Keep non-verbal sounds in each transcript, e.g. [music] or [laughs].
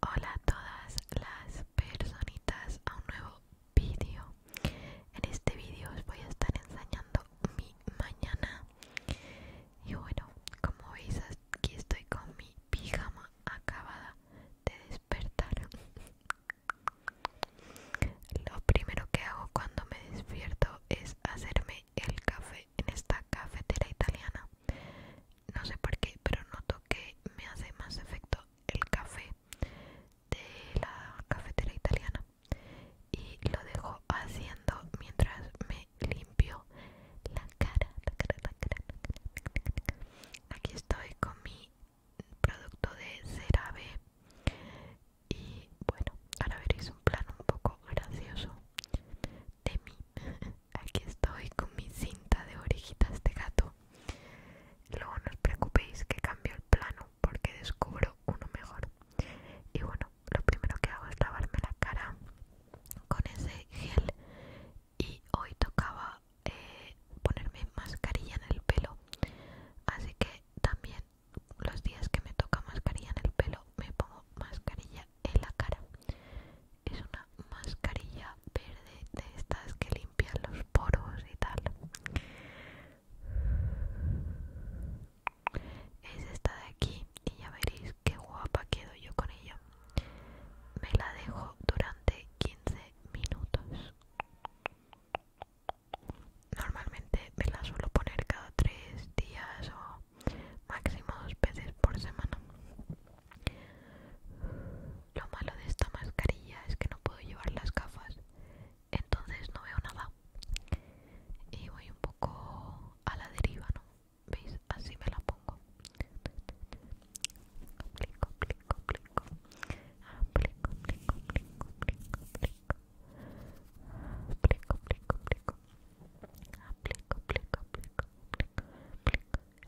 Hola a todas las personitas a un nuevo vídeo. En este vídeo os voy a estar enseñando mi mañana. Y bueno, como veis aquí estoy con mi pijama acabada de despertar. Lo primero que hago cuando me despierto es hacerme el café en esta cafetera italiana no sé por qué, pero noto que me hace más efecto el café de la cafetera italiana y lo dejo haciendo mientras me limpio la cara, Aquí estoy con mi producto de CeraVe y bueno, ahora veréis un plano un poco gracioso de [laughs] Aquí estoy con mi cinta de orejitas de gato. Luego no os preocupéis que cambio el plano porque descubro uno mejor. Y bueno, lo primero que hago es lavarme la cara con ese gel. Y hoy tocaba eh, ponerme mascarilla en el pelo. Así que también los días que me toca mascarilla en el pelo me pongo mascarilla en la cara. Es una mascarilla verde de estas que limpian los poros y tal. Es esta de aquí y ya veréis qué guapa quedo yo con ella. Me la dejo durante 15 minutos. Normalmente me la suelo poner cada 3 días o máximo dos veces por semana. Lo malo de esta mascarilla es que no puedo llevar las gafas, entonces no veo nada. Y voy un poco a la deriva, ¿no? ¿Veis? Así me la pongo. Aplico, Aplico, aplico. aplico.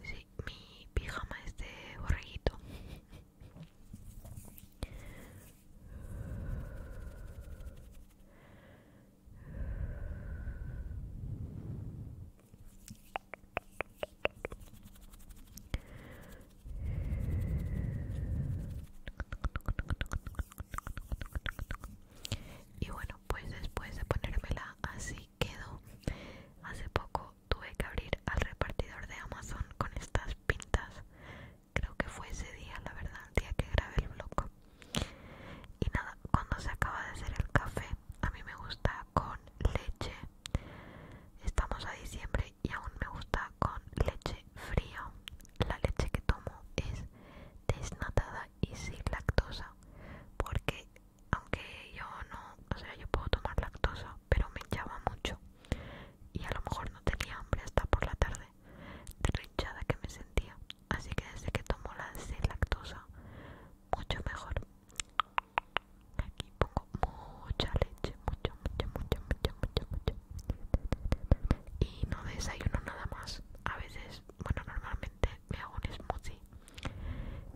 Sí, mi pijama es de borreguito y bueno pues después de ponérmela así quedó hace poco tuve que abrir al repartidor de Amazon con estas pintas creo que fue ese día la verdad el día que grabé el blog y nada cuando se acaba de hacer el café a mí me gusta con leche estamos a diciembre y aún me gusta con leche fría la leche que tomo es desnatada y sin lactosa porque aunque yo no o sea yo puedo tomar lactosa pero me hinchaba mucho y a lo mejor no tenía hambre hasta por la tarde de la hinchada que me sentía así que desde que tomo la sin lactosa mucho mejor aquí pongo mucha leche mucho mucho mucho mucho mucho y no desayuno nada más a veces bueno normalmente me hago un smoothie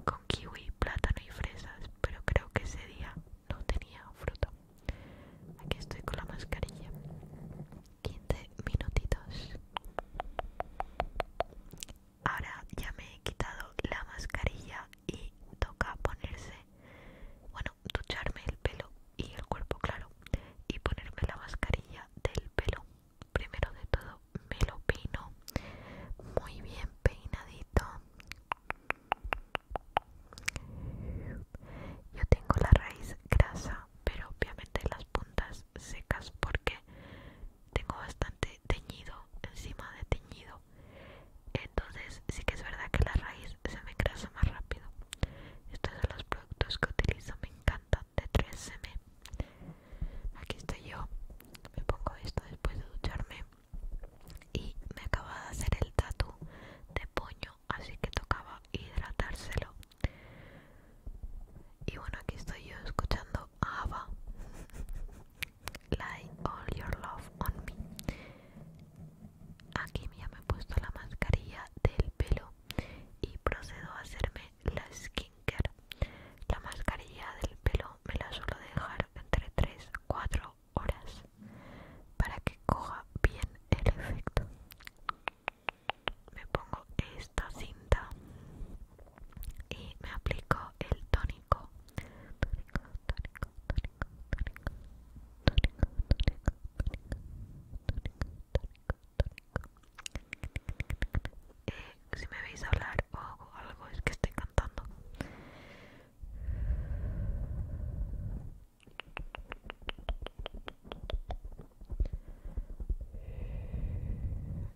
con kiwi, plátano y fresas, pero creo que ese día no tenía fruta. Aquí estoy con la mascarilla. 15 minutitos. Ahora ya me he quitado la mascarilla y toca ponerse, bueno, ducharme el pelo y el cuerpo, claro, y ponerme la mascarilla del pelo primero de todo me lo peino muy bien peinadito yo tengo la raíz grasa pero obviamente las puntas secas porque tengo bastante teñido encima de teñido entonces sí que es verdad que la raíz se me grasa más rápido estos son los productos que utilizo me encantan de 3M aquí estoy yo me pongo esto después de ducharme y me acaba de hacer el tatu de puño así que tocaba hidratárselo y bueno aquí estoy yo escuchando Ava Lie all your love on me Aquí ya me he puesto la mascarilla del pelo y procedo a hacerme la skincare. La mascarilla del pelo me la suelo dejar entre 3 4 horas para que coja bien el efecto. Me pongo esta cinta y me aplico el tónico. Tónico, tónico, tónico, tónico, tónico, tónico, eh, si me veis hablar o algo es que estoy cantando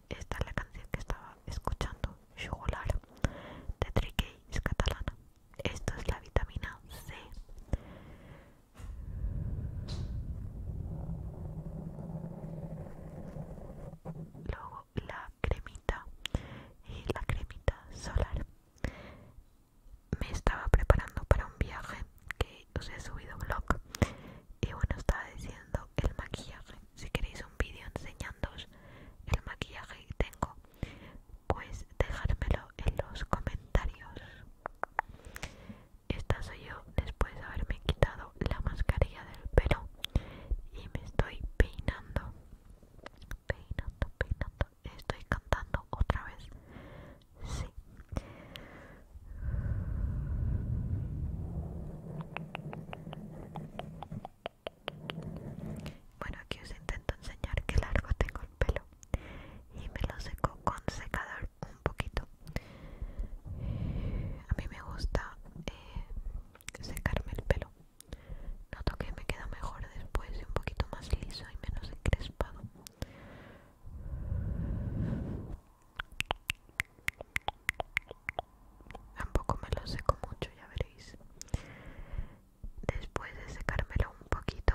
esta es la canción que estaba escuchando Xugular de Triquey es catalana esto es la vitamina C luego la cremita y la cremita solar me estaba preparando para un viaje que os he subido blog y bueno estaba diciendo el maquillaje si queréis un vídeo enseñándoos el maquillaje que tengo pues dejármelo en los comentarios esta soy yo después de haberme quitado la mascarilla del pelo y me estoy peinando. Peinando, peinando. Estoy cantando otra vez. Sí. Bueno, aquí os intento enseñar qué largo tengo el pelo y me lo seco con secador un poquito a mí me gusta eh, secarme el pelo noto que me queda mejor después y un poquito más liso y menos encrespado tampoco me lo seco mucho ya veréis después de secármelo un poquito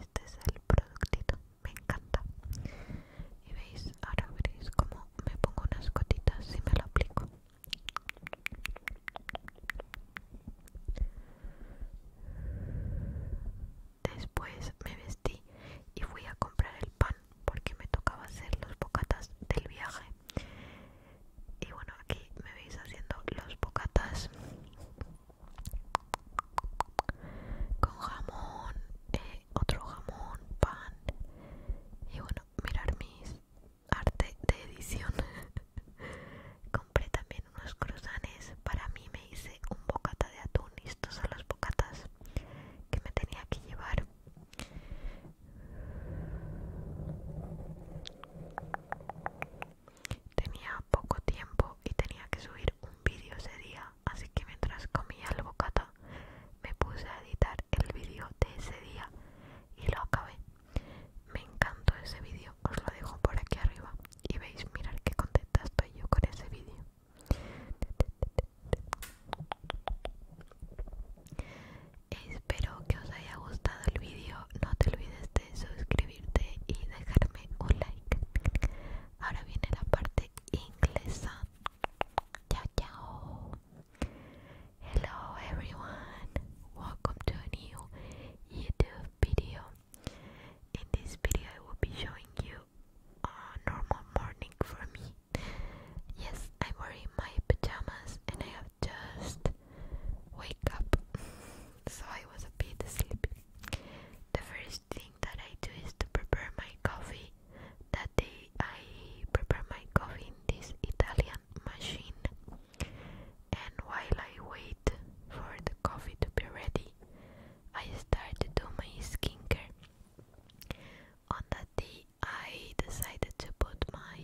este es el productito me encanta y veis ahora veréis como me pongo unas gotitas y me lo aplico después me vestí y fui a comprar el pan porque me tocaba hacer los bocatas del viaje y bueno, aquí me veis haciendo los bocatas con jamón, eh, otro jamón, pan. Y bueno, mirar mis arte de edición. [laughs] Compré también unos cruzanes. Para mí me hice un bocata de atún. Y estos son los bocatas que me tenía que llevar. Tenía poco tiempo y tenía que subir un vídeo ese día, así que mientras comía el bocata me puse a editar el vídeo de ese día y lo acabé. Me encantó ese vídeo, os lo dejo por aquí arriba y veis, mirad qué contenta estoy yo con ese vídeo. Espero que os haya gustado el vídeo. No te olvides de suscribirte y dejarme un like. Ahora viene la parte inglesa. Chao, chao. Hello everyone. Welcome to a new YouTube video. In this video I will be showing you a normal morning for me. Yes, I'm wearing my pajamas and I have just wake up. [laughs] so I was a bit sleepy. The first thing that I do is to prepare my coffee. That day I prepare my coffee in this Italian machine. And while I wait for the coffee to be ready, I start to do my skincare. On that day, I decided to put my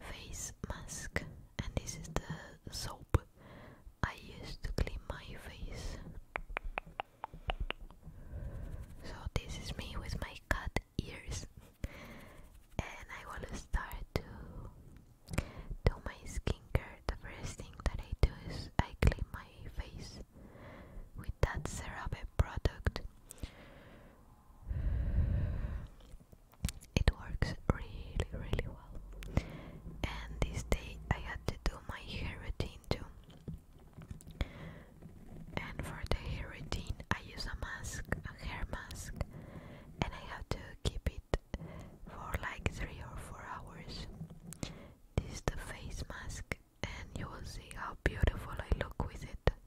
face mask, and this is the soap I used to clean my face. So, this is me with my cut ears, and I will start to do my skincare. The first thing that I do is I clean my face with that CeraVe product. It works really, really well. And this day I had to do my hair routine too. And for the hair routine, I use a mask, a hair mask, and I have to keep it for like three or four hours. This is the face mask, and you will see how beautiful I look with it. This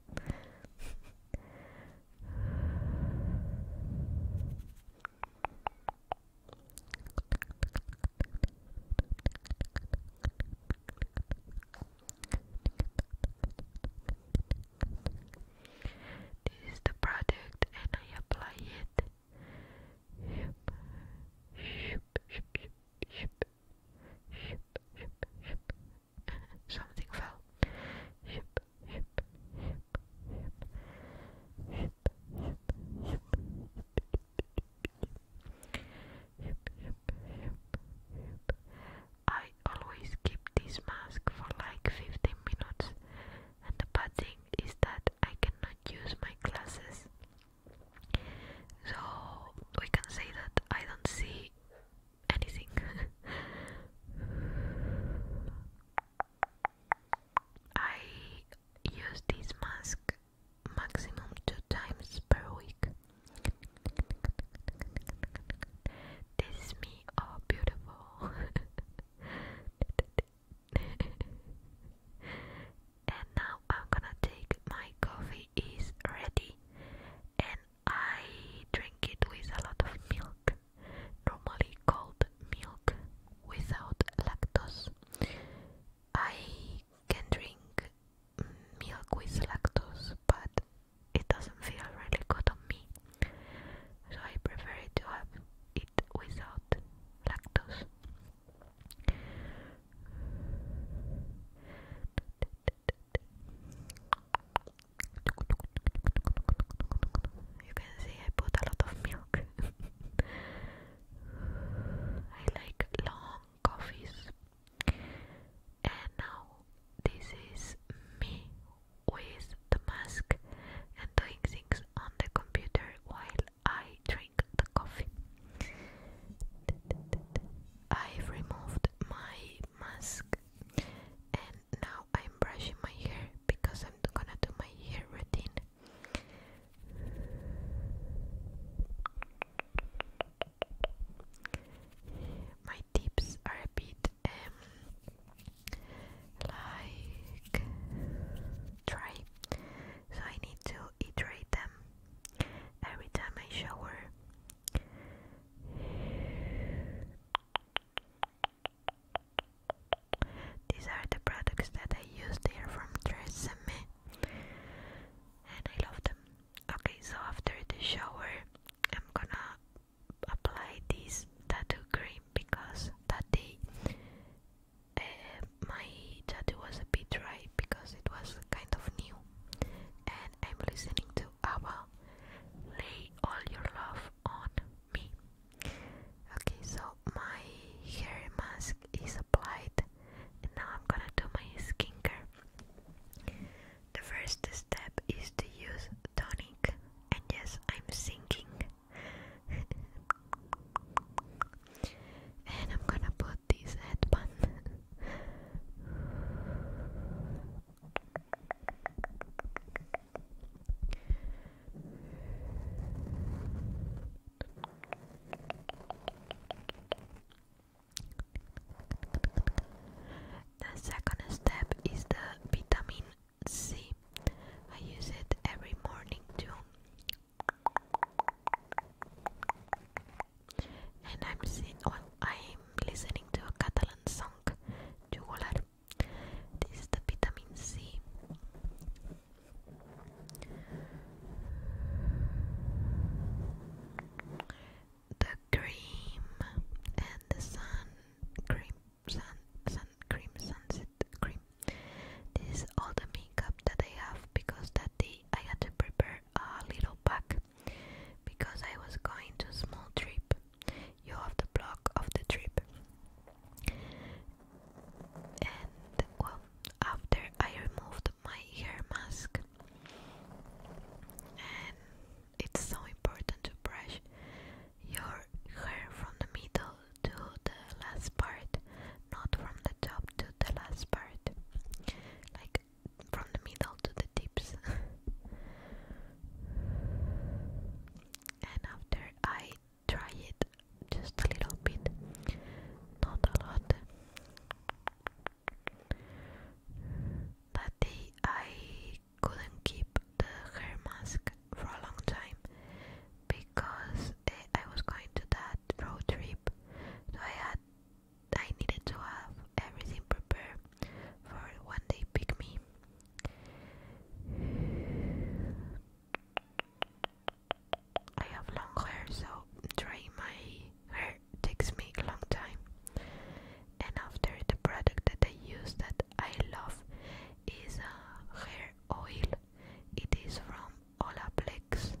is the product, and I apply it. Something fell. I always keep this mask for like 15 minutes, and the bad thing is that I cannot use my glasses. So we can say that I don't see anything. [laughs] I use this mask maximum two times per week. This is me, oh beautiful. [laughs] and now I'm gonna take my coffee is ready I drink it with a lot of milk, normally cold milk without lactose. I can drink milk with lactose, but it doesn't feel really good on me, so I prefer to have it without lactose. You can see I put a lot of milk. [laughs] I like long coffees. And now this is me with the mask and doing things on the computer while I drink the coffee. I've removed my mask and now I'm brushing my hair because I'm gonna do my hair routine. My tips are a bit um, like dry, so I need to iterate them every time I shower. These are the products that I use, they from Tresemme and I love them. Okay, so after the shower, I'm gonna apply this tattoo cream because that day uh, my tattoo was a bit dry because it was kind of new and I'm listening to ABBA Lay All Your Love on Me. Okay, so my hair mask is applied, and now I'm gonna do my skincare. The first step is to use tonic, and yes, I'm singing. [laughs] and I'm gonna put this headband The second step is the vitamin C. I use it every morning too and I'm listening to a Catalan song, Jugular. This is the vitamin C. The cream and the sun cream, sun, sun cream, sunset cream. This is all the makeup that I have because that day I had to prepare a little pack because I was going to a small trip. You have the block of the trip. And well, after I removed my hair mask, and it's so important to brush your hair from the middle to the last part not from the top to the last part, like from the middle to the tips. and after I try it just a little bit, not a lot, that day I couldn't keep the hair mask for a long time because eh, I was going to that road trip so I had I needed to have everything prepared for when they pick me. I have long hair, so drying my hair takes me a long time. And after the product that I use that I love is a uh, hair oil. It is from Olaplex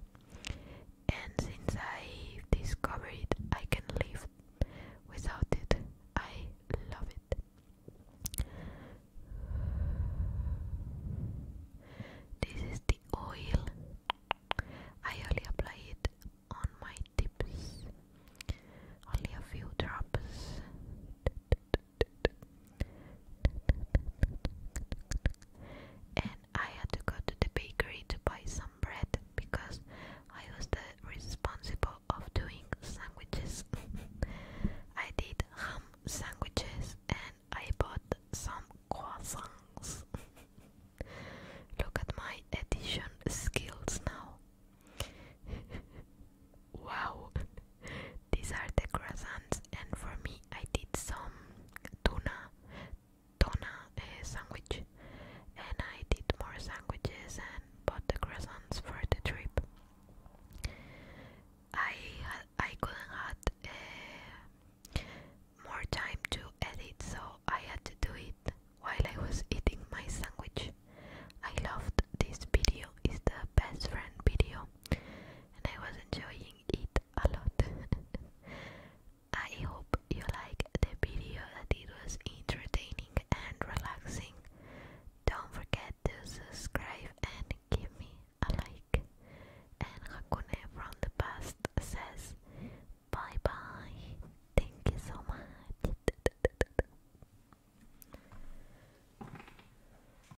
and since i discovered I can live without it. I love it. This is the oil. I only apply it on my tips. Only a few drops and I had to go to the bakery to buy some bread because I was the responsible of doing sandwiches. [laughs] I did ham sandwiches and I bought some croissants. [laughs] Look at my addition skills now. [laughs] wow, these are the croissants, and for me, I did some tuna, tuna eh, sandwich, and I did more sandwiches and bought the croissants for the trip. I I couldn't had eh, more time to edit, so I had to do it while I was eating my sandwich. I loved this video; is the best friend video, and I was enjoying a lot. [laughs] I hope you like the video that it was entertaining and relaxing. Don't forget to subscribe and give me a like. And Hakune from the past says bye bye. Thank you so much. [laughs]